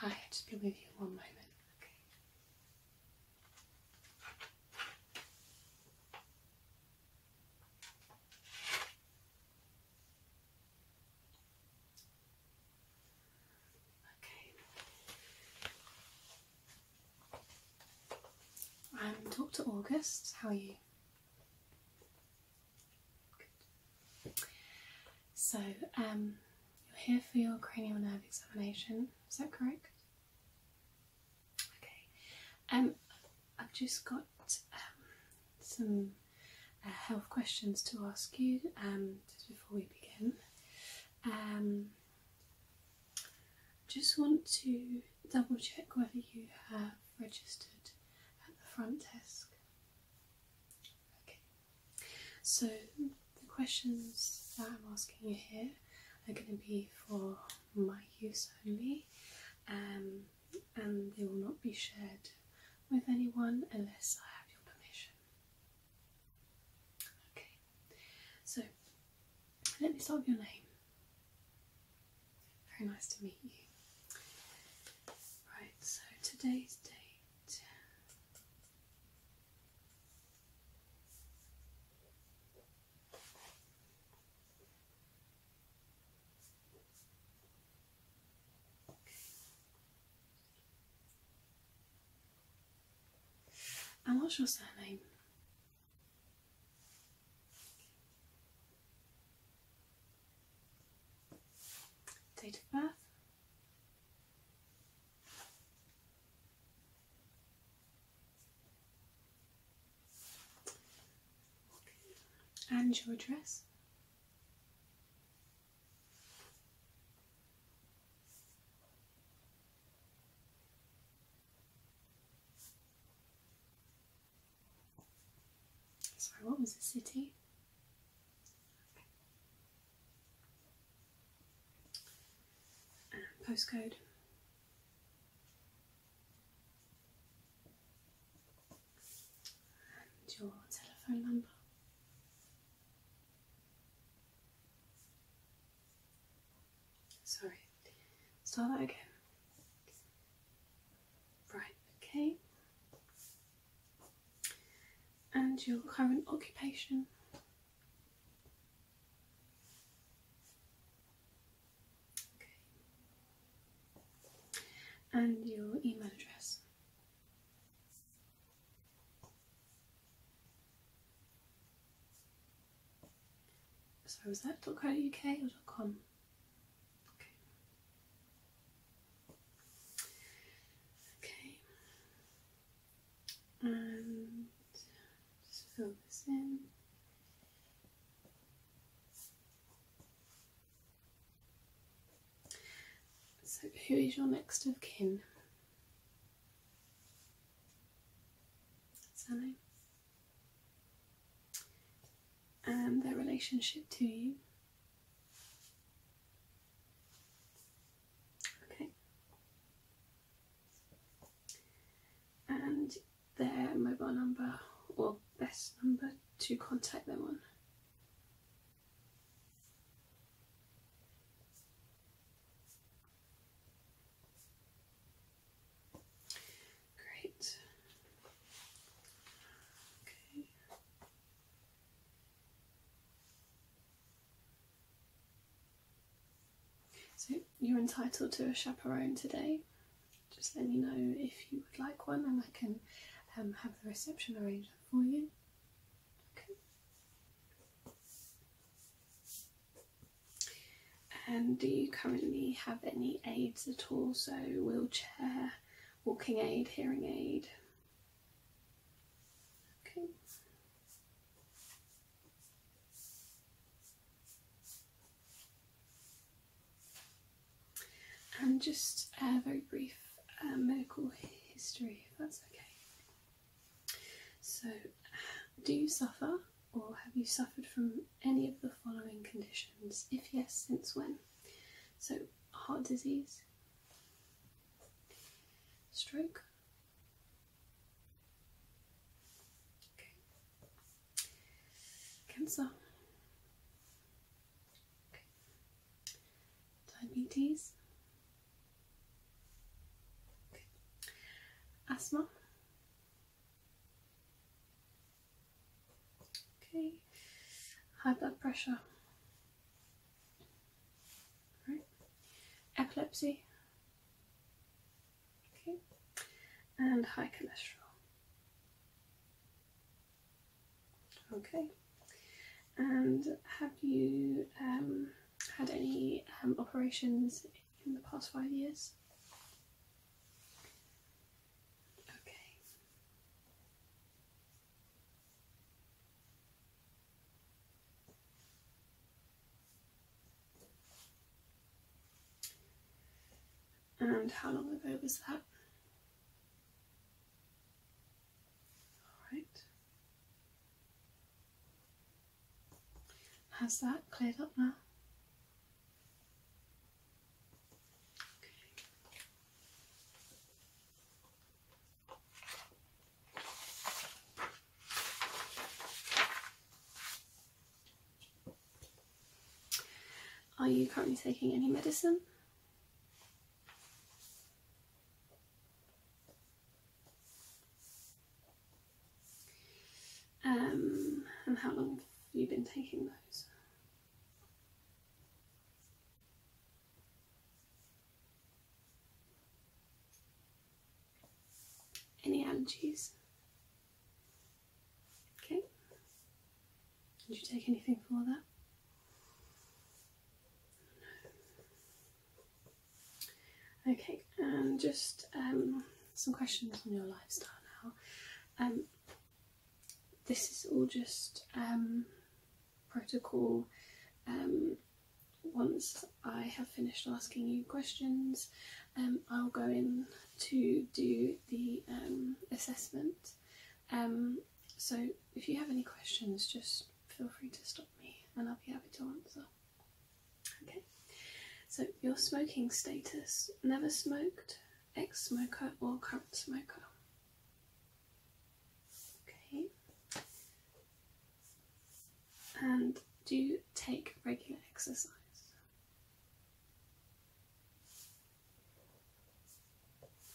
Hi, I'll just be with you one moment. Okay. Okay. Um, Dr. August, how are you? So, um, you're here for your cranial nerve examination, is that correct? Okay. Um, I've just got um, some uh, health questions to ask you um, before we begin. Um, just want to double check whether you have registered at the front desk. Okay, so the questions that I'm asking you here are going to be for my use only, um, and they will not be shared with anyone unless I have your permission. Okay, so let me start with your name. Very nice to meet you. Right, so today's date And what's your surname? Date of birth. And your address. Sorry, what was the city? Uh, postcode. And your telephone number. Sorry, start that again. Right, okay. And your current occupation? Okay. And your email address? So is that .co.uk or .com? Okay. And just fill this in. So, who is your next of kin? Surname? and their relationship to you. Okay. And their mobile number or best number to contact them on. Great. Okay. So you're entitled to a chaperone today. Just let me know if you would like one and I can um, have the reception arranged for you. Okay. And do you currently have any aids at all? So wheelchair, walking aid, hearing aid. Okay. And just a very brief uh, medical history, if that's okay. So, do you suffer or have you suffered from any of the following conditions? If yes, since when? So, heart disease, stroke. Cancer. Diabetes. Asthma. Okay, high blood pressure, All right. epilepsy, okay, and high cholesterol. Okay, and have you um, had any um, operations in the past five years? Okay. And how long ago was that? Alright. Has that cleared up now? Are you currently taking any medicine? Um, and how long have you been taking those? Any allergies? Okay. Did you take anything for that? Okay, and just um, some questions on your lifestyle now. Um, this is all just um, protocol. Um, once I have finished asking you questions, um, I'll go in to do the assessment. so if you have any questions, just feel free to stop me and I'll be happy to answer. Okay, so your smoking status never smoked, ex smoker or current smoker? Okay. And do take regular exercise?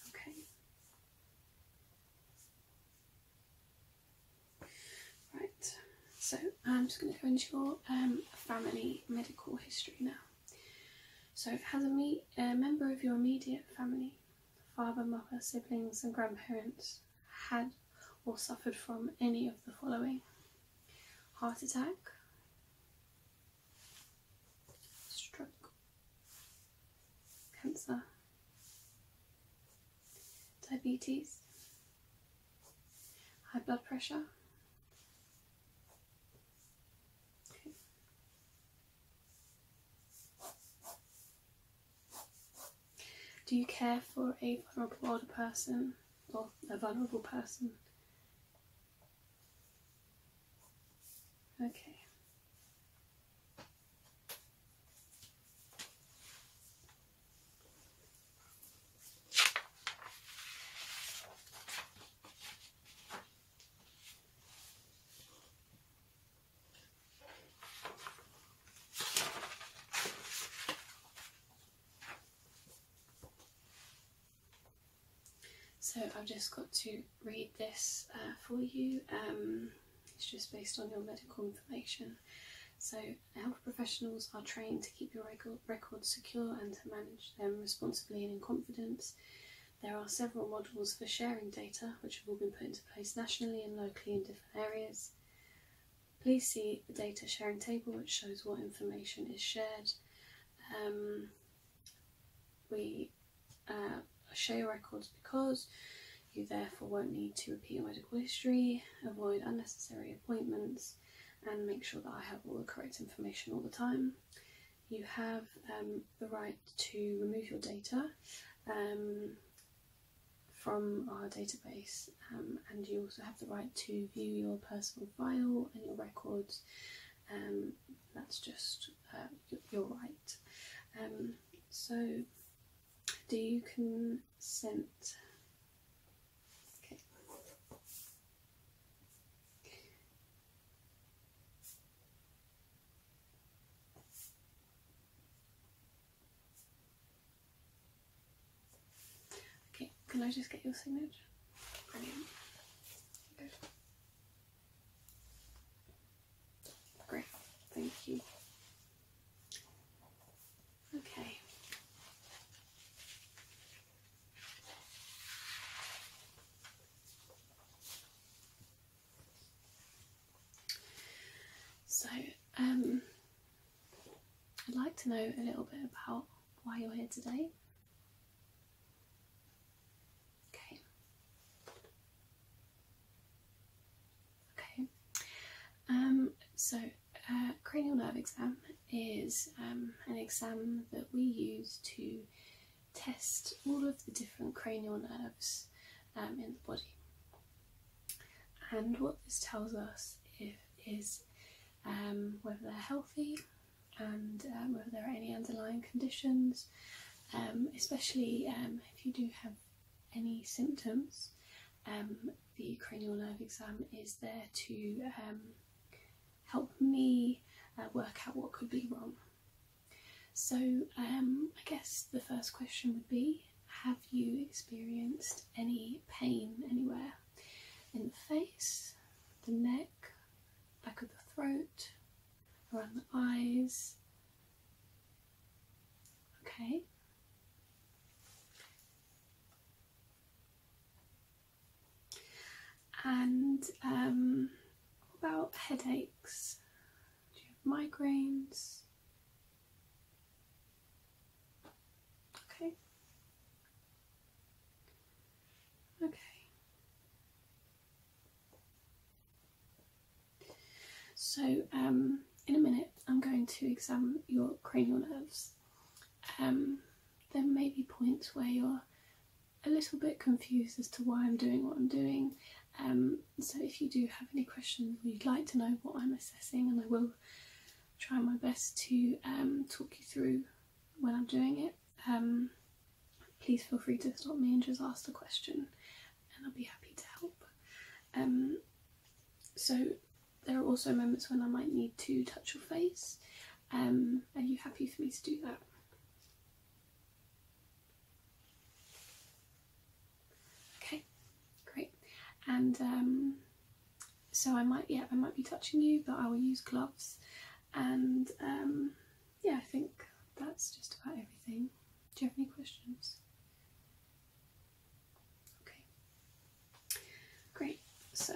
Okay. Right, so I'm just going to go into your um, family medical history now. So, has a, me- a member of your immediate family, father, mother, siblings, and grandparents, had or suffered from any of the following heart attack, stroke, cancer, diabetes, high blood pressure, do you care for a vulnerable older person or a vulnerable person? Okay. So I've just got to read this uh, for you. Um, it's just based on your medical information. So health professionals are trained to keep your record, records secure and to manage them responsibly and in confidence. There are several modules for sharing data, which have all been put into place nationally and locally in different areas. Please see the data sharing table, which shows what information is shared. Um, we uh, share records because you therefore won't need to repeat your medical history, avoid unnecessary appointments, and make sure that I have all the correct information all the time you have um, the right to remove your data um, from our database um, and you also have the right to view your personal file and your records that's just uh, your right so do you consent Okay, can I just get your signature? Brilliant. Good. Great, thank you. Okay. So, um, I'd like to know a little bit about why you're here today. Okay. Okay. Um, so, uh, cranial nerve exam is um, an exam that we use to test all of the different cranial nerves um, in the body. And what this tells us is um, whether they're healthy and um, whether there are any underlying conditions, especially if you do have any symptoms. the cranial nerve exam is there to help me uh, work out what could be wrong. So um, I guess the first question would be, have you experienced any pain anywhere? In the face, the neck, back of the throat, around the eyes? Okay. And um, about headaches? Do you have migraines? Okay. Okay. So um, in a minute I'm going to examine your cranial nerves. Um, there may be points where your a little bit confused as to why I'm doing what I'm doing. Um, so if you do have any questions you'd like to know what I'm assessing, and I will try my best to um, talk you through when I'm doing it, um, please feel free to stop me and just ask a question and I'll be happy to help. so there are also moments when I might need to touch your face. are you happy for me to do that? Okay, great. And um, so I might, yeah, I might be touching you, but I will use gloves. And um, yeah, I think that's just about everything. Do you have any questions? Okay, great. So.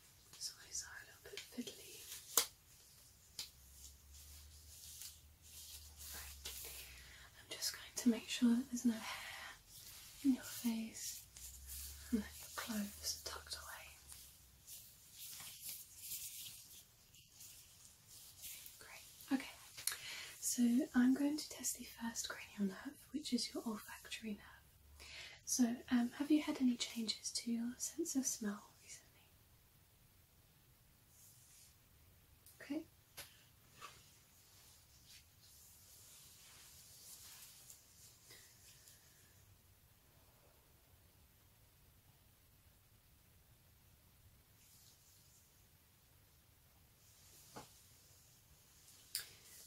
His eyes are a little bit fiddly. I'm just going to make sure there's no hair in your face and that your clothes tucked away. Great. Okay. So I'm going to test the first cranial nerve, which is your olfactory nerve. So, um, have you had any changes to your sense of smell recently? Okay.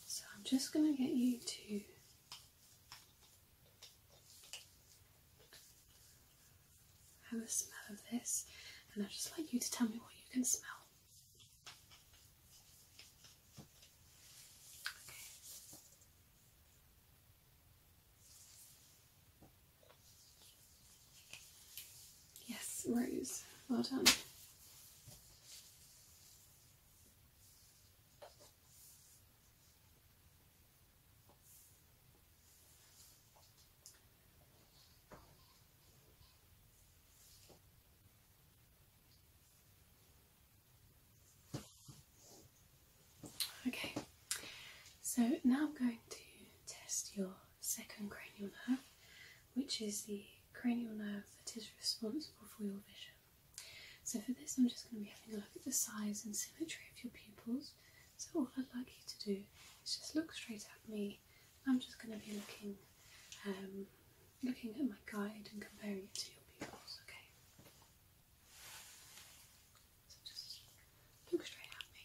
So, I'm just going to get you to have a smell of this, and I'd just like you to tell me what you can smell. Okay. Yes, rose. Well done. Okay, so now I'm going to test your second cranial nerve, which is the cranial nerve that is responsible for your vision. So for this I'm just going to be having a look at the size and symmetry of your pupils. So what I'd like you to do is just look straight at me. I'm just going to be looking um, looking at my guide and comparing it to your pupils, okay? So just look straight at me.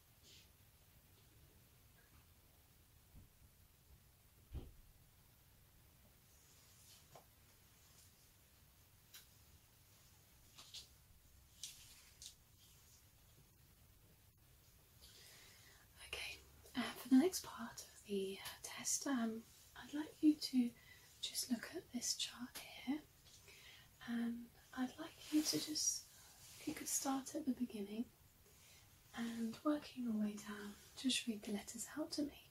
Okay, uh, for the next part of the uh, test, um, I'd like you to just look at this chart here and um, I'd like you to just, if you could start at the beginning and working your way down, just read the letters out to me.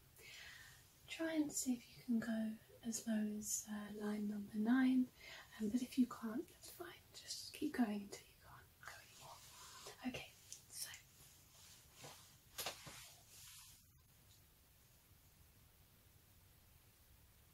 Try and see if you can go as low as uh, line number nine, um, but if you can't, that's fine. Just keep going until you can't go anymore. Okay, so.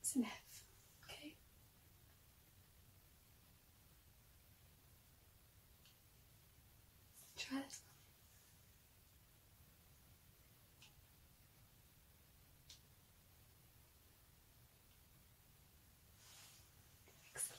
It's an okay? Try this Excellent.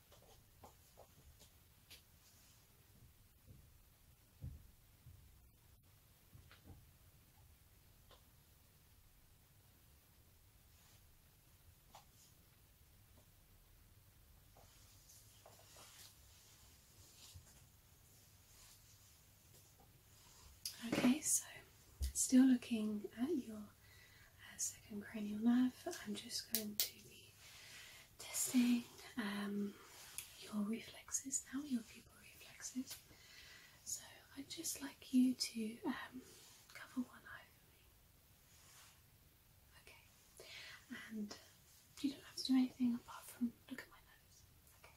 Okay, so still looking at your uh, second cranial nerve, I'm just going to be testing um, your reflexes now, your pupil reflexes. So I'd just like you to um, cover one eye for me. Okay. And you don't have to do anything apart from look at my nose. Okay.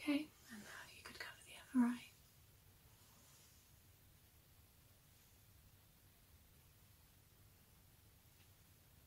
Okay, and now you could cover the other eye.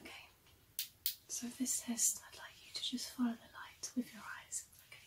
Okay, so for this test, I'd like you to just follow the light with your eyes, okay?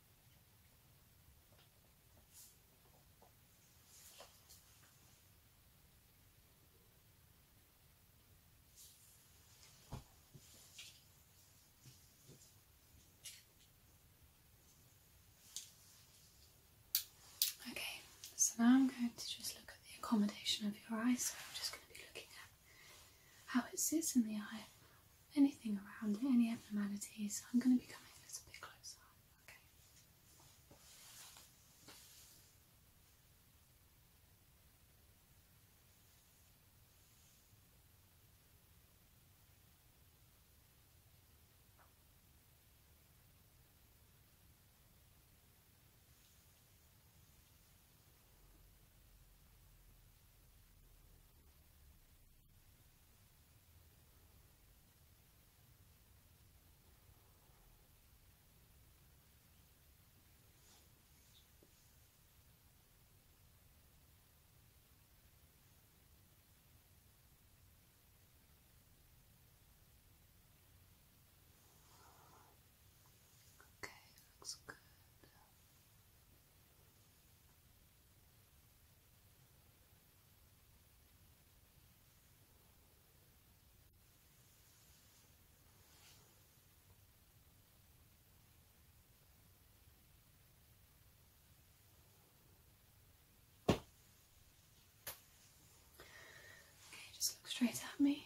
Okay, so now I'm going to just look at the accommodation of your eye. So I'm just going to be looking at how it sits in the eye anything around any abnormalities, I'm going to be coming a little bit closer. Okay, Okay, looks good. Okay, just look straight at me.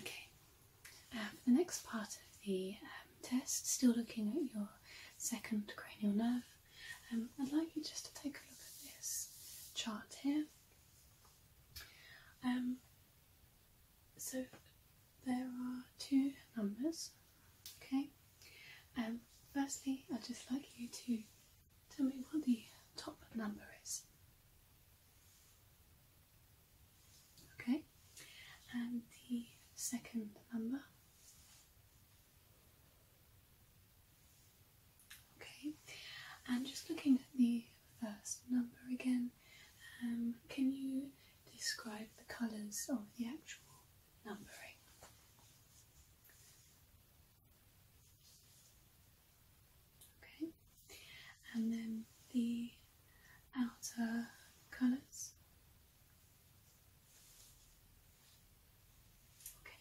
Okay, for um, the next part of the um, test, still looking at your second cranial nerve, um, I'd like you just to take a look at this chart here. Um, so there are two numbers, okay? Um, firstly, I'd just like you to tell me what the top number is. Okay, and the second number. Okay, and just looking at the first number again, um, can you describe the colours of the actual numbering? Okay, and then the outer colours. Okay,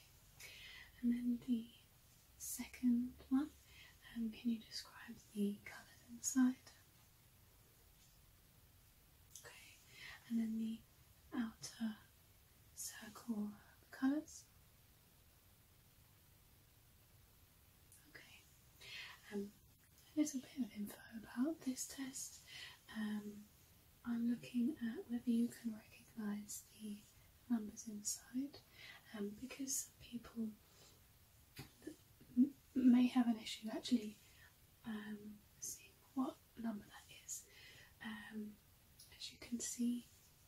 and then the second one, um, can you describe the colours inside? Okay, and then the outer circle colours. Okay, um, a little bit of info about this test. Um, I'm looking at whether you can recognise the numbers inside um, because people may have an issue actually um, seeing what number that is. Um, as you can see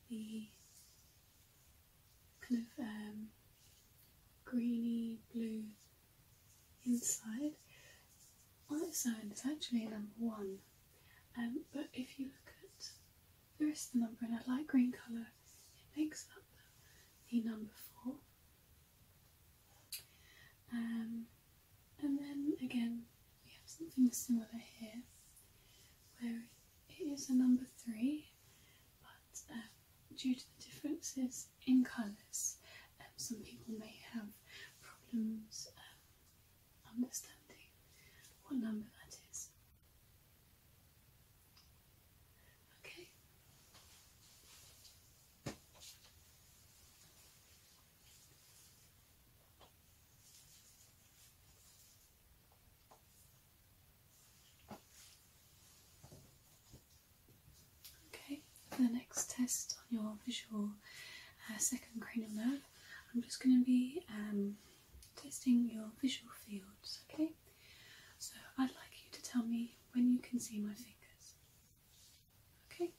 the kind of um, greeny blue inside on Olive Sound it's actually number one, um, but if you look at the rest of the number in a light green colour, it makes up the number four. Um, and then again, we have something similar here, where it is a number three, but um, due to the differences in colours, some people may have problems understanding what number that is. Okay. Okay, the next test on your visual uh, second cranial nerve, I'm just going to be um, testing your visual fields, okay? So I'd like you to tell me when you can see my fingers, okay?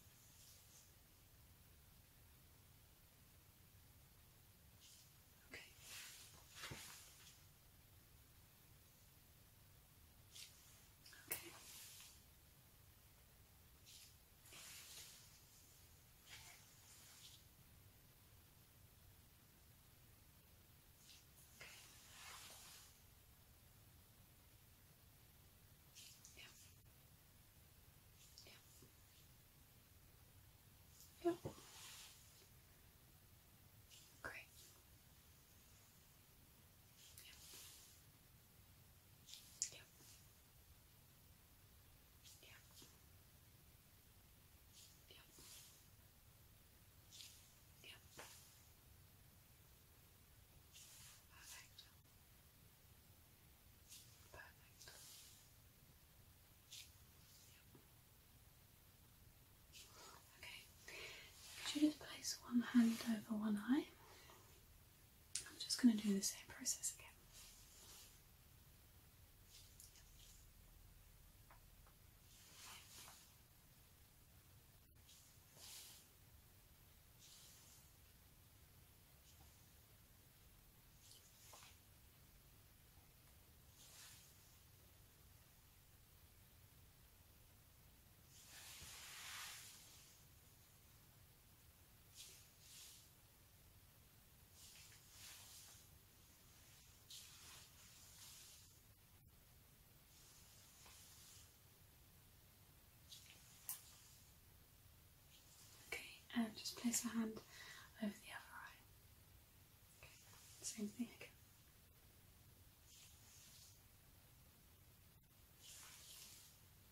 Okay. Okay. Okay. Yeah. Yeah. Yeah. Great. Yeah. Yeah. Perfect. Perfect. Okay. Could you just place one hand over one eye? I'm just going to do the same process again. Okay, and just place your hand over the other eye. same thing again.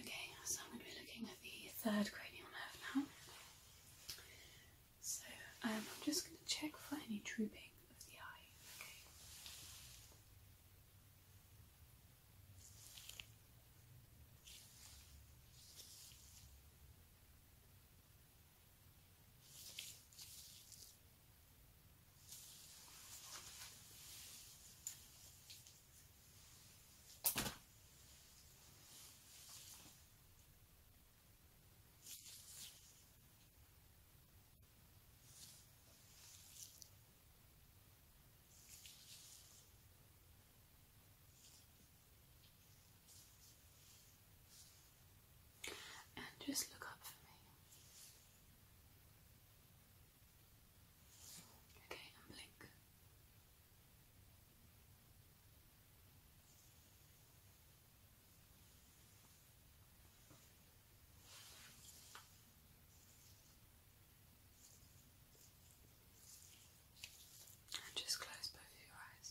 Okay, so I'm going to be looking at the third cranial nerve now. So um, I'm just going to check for any drooping of the eye. Okay, and just look up for me. Okay, and blink. And just close both your eyes.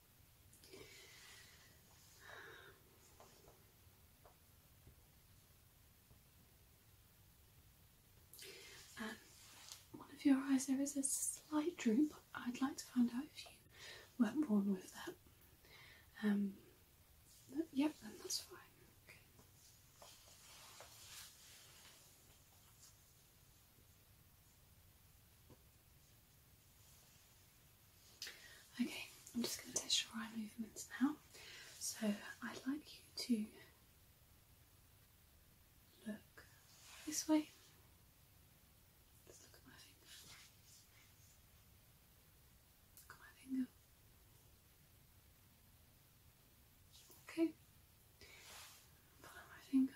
Um, one of your eyes, there is a slight droop. I'd like to find out if you weren't born with that. Um, yep, then that's fine. Okay, I'm just going to test your eye movements now. So I'd like you to look this way. let look at my finger. Look at my finger. Okay. Follow my finger.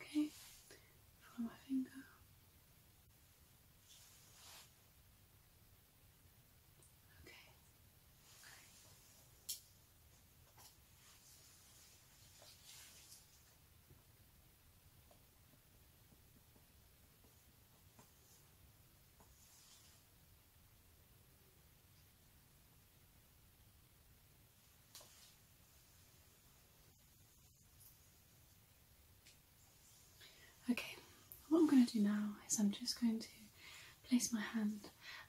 Okay, follow my finger. Okay, Okay, what I'm going to do now is I'm just going to place my hand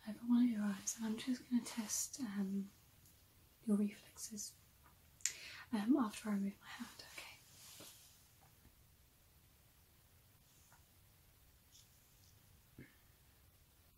over one of your eyes and I'm just going to test um, your reflexes um, after I remove my hand, okay?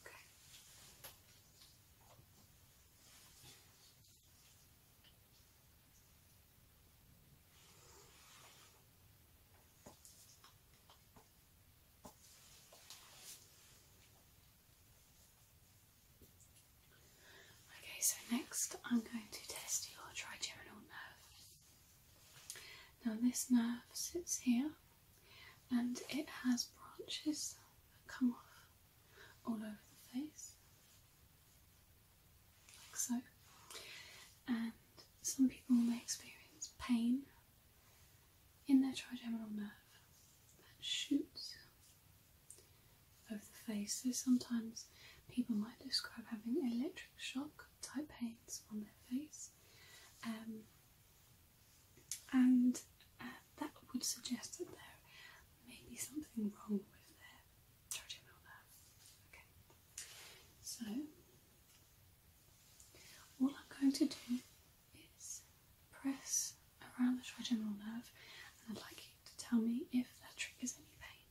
Okay. Okay, so next I'm going to test your trigeminal nerve. Now, this nerve sits here and it has branches that come off all over the face, like so. And some people may experience pain in their trigeminal nerve that shoots over the face. So sometimes people might describe having electric shock type pains on their face. Um, and uh, that would suggest that there may be something wrong with the trigeminal nerve. Okay, so all I'm going to do is press around the trigeminal nerve, and I'd like you to tell me if that triggers any pain.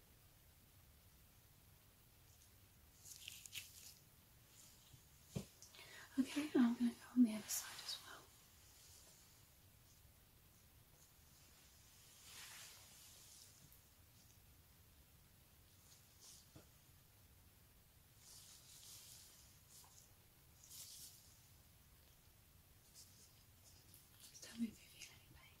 Okay, I'm going to go on the other side as well. tell me if you feel any pain.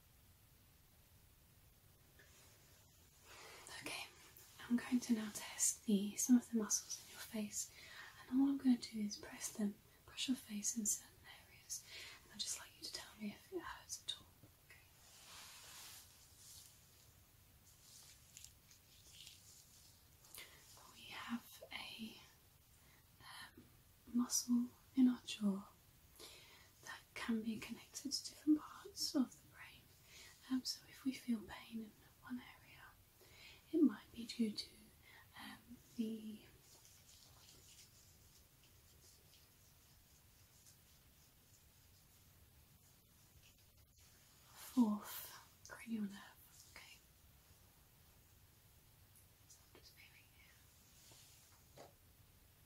Okay, I'm going to now test the some of the muscles in your face, and all I'm going to do is press them, press your face in certain areas, and I'd just like you to tell me if it hurts at all. Okay. We have a um, muscle in our jaw that can be connected to different parts of the brain. Um, so, if we feel pain in one area, it might be due to um, the fourth cranial nerve. Okay.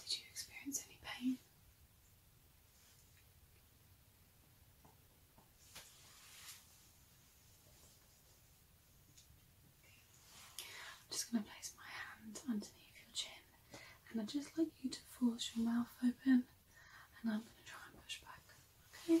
Did you experience any pain? I'm just going to place my hand underneath your chin and i just like you to force your mouth open and I'm going to try and push back. Okay?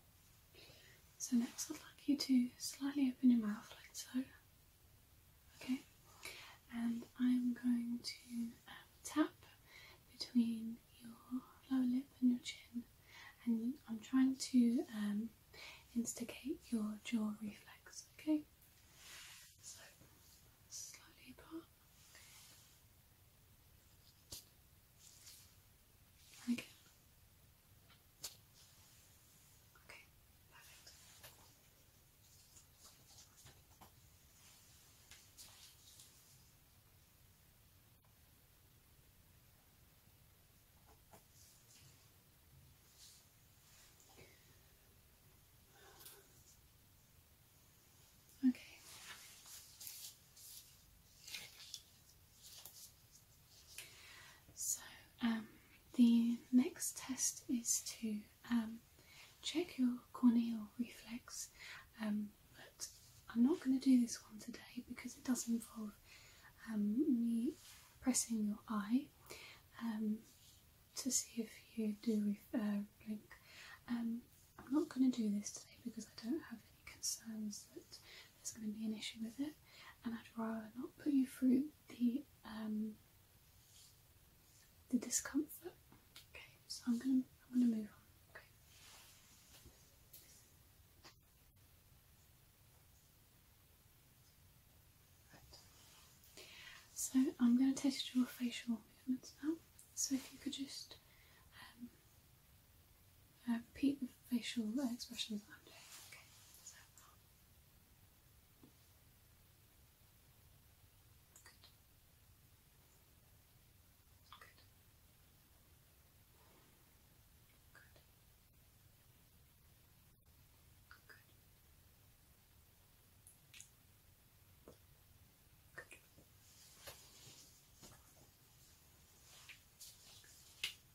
so next I'd like you to slightly open your mouth like so. Okay. And I'm going to um, tap between your lower lip and your chin and I'm trying to um, instigate your jaw reflex, okay? So slightly apart. And Okay, perfect. Okay. So um, the next test is to um, check your corneal reflex, um, but I'm not going to do this one today because it does involve me pressing your eye to see if you do uh, blink. I'm not going to do this today because I don't have any concerns that there's going to be an issue with it, and I'd rather not put you through the um, the discomfort. Okay, so I'm gonna I'm gonna move on. Okay. So I'm going to test your facial movements now. So if you could just um, uh, repeat the facial expressions I'm doing. Good. Good. Good. Good. Good.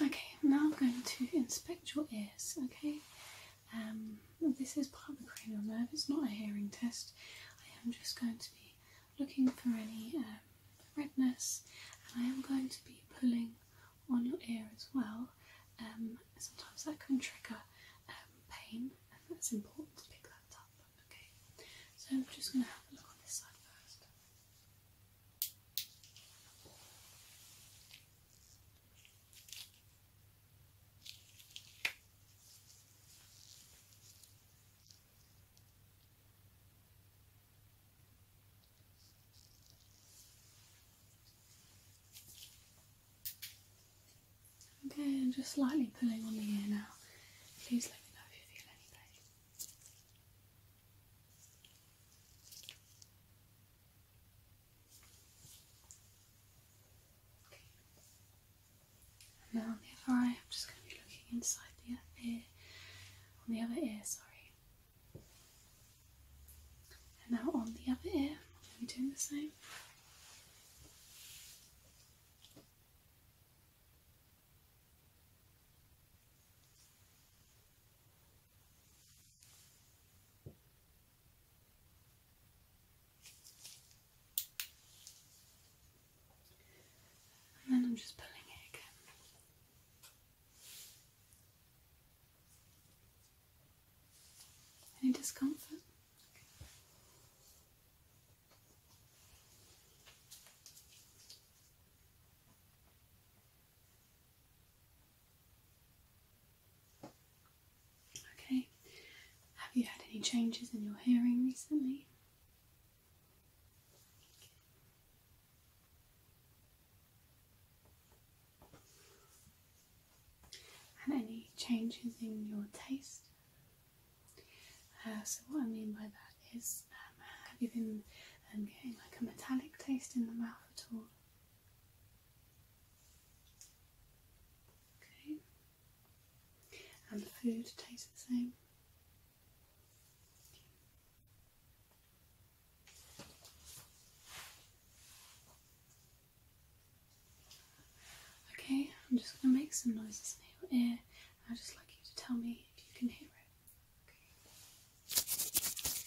Okay, now I'm going to inspect your ears, okay? Um, this is part of the cranial nerve, it's not a hearing test. I am just going to be looking for any um, redness and I am going to be pulling on your ear as well. Um, sometimes that can trigger um, pain and that's important to pick that up, okay? So I'm just going to have a look on this side first. Okay, I'm just slightly pulling on the ear now. Please let me know if you feel anything. And then on the other eye, I'm just going to be looking inside the ear, on the other ear, sorry. And now on the other ear, I'm doing the same. And then I'm just pulling it again. Any discomfort? Okay, have you had any changes in your hearing recently? And any changes in your taste? Uh, so, what I mean by that is, um, have you been um, getting like a metallic taste in the mouth at all? Okay. And the food tastes the same. Okay, I'm just going to make some noises in your ear. I'd just like you to tell me if you can hear it. Okay.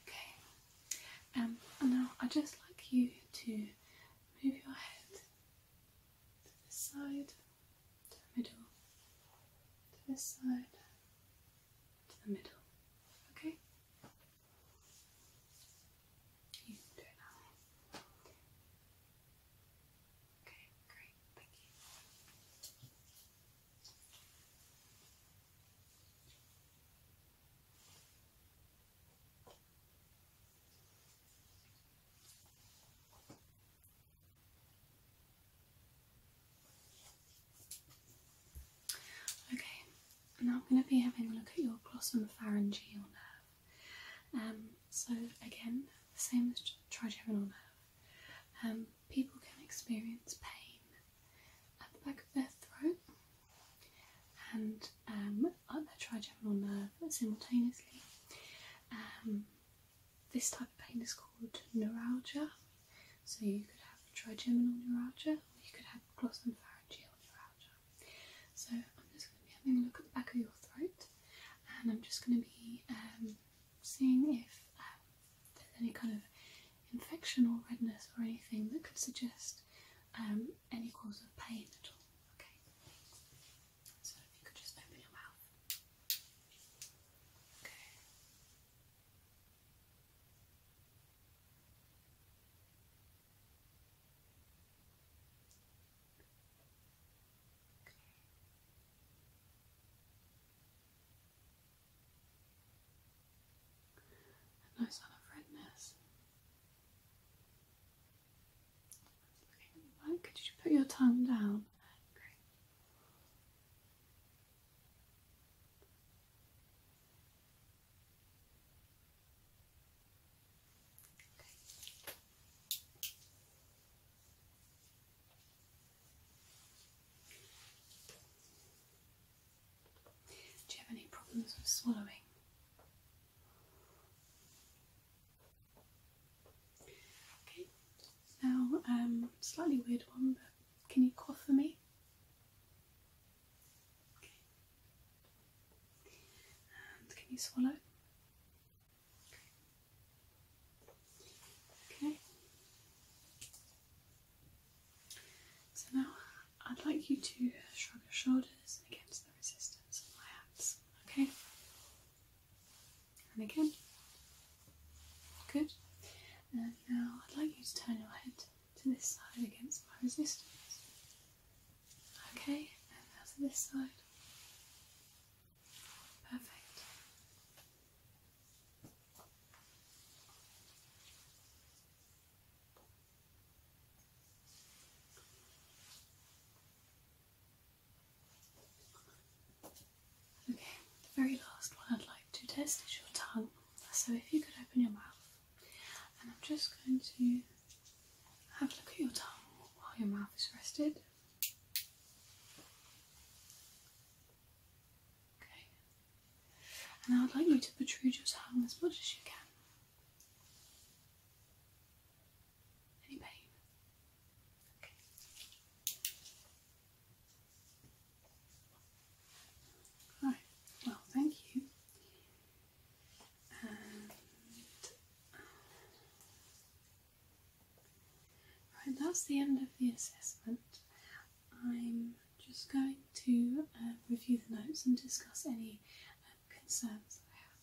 Okay, um, and now I'd just like you to move your head to the side to the middle, to this side, to the middle. Okay? You do it now. Okay, great, thank you. Okay, now I'm going to be having a look at your glossopharyngeal nerve. Um, so again, the same as trigeminal nerve. Um, people can experience pain at the back of their throat and um, their trigeminal trigeminal nerve uh, simultaneously. Um, this type of pain is called neuralgia. So you could have trigeminal neuralgia or you could have glossopharyngeal neuralgia. So I'm just going to be having a look at the back of your throat and I'm just going to be um, seeing if um, there's any kind of infection or redness or anything that could suggest any cause of pain at all. Okay. So if you could just open your mouth. Okay. Okay. no sign of redness could you put your tongue down? Do you have any problems with swallowing? Okay, now um, slightly weird one, but can you cough for me? And can you swallow? Okay. So now I'd like you to shrug your shoulders against the resistance of my hands. Okay and again. Good. And now I'd like you to turn your head to this side against my resistance. Okay, and now to this side. Perfect. Okay, the very last one I'd like to test is your tongue. So if you could open your mouth, and I'm just going to have a look at your tongue while your mouth is rested. Okay, and I'd like you to protrude your tongue as much as you can. Any well, thank you. right, that's the end of the assessment. I'm just going to uh, review the notes and discuss any um, concerns that I have.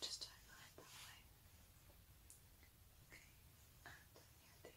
Just highlight that way. Okay, and here the other way.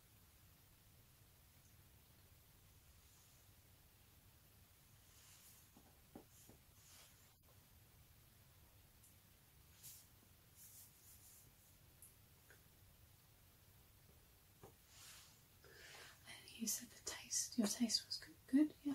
you said the taste, your taste was good, yeah.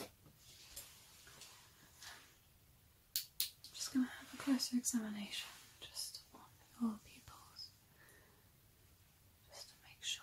I'm just going to have a closer examination just on your pupils, just to make sure.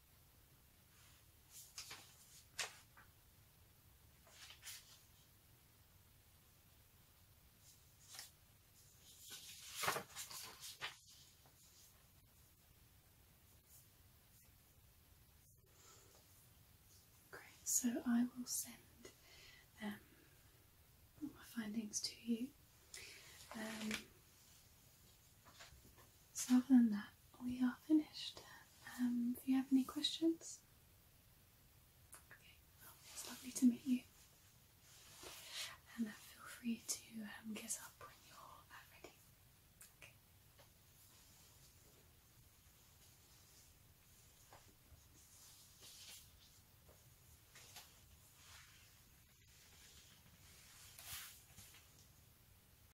Great, so I will send um, all my findings to you. Um, so other than that, we are finished. Um, if you have any questions, okay. Well, lovely to meet you, and uh, feel free to um, get up when you're uh, ready.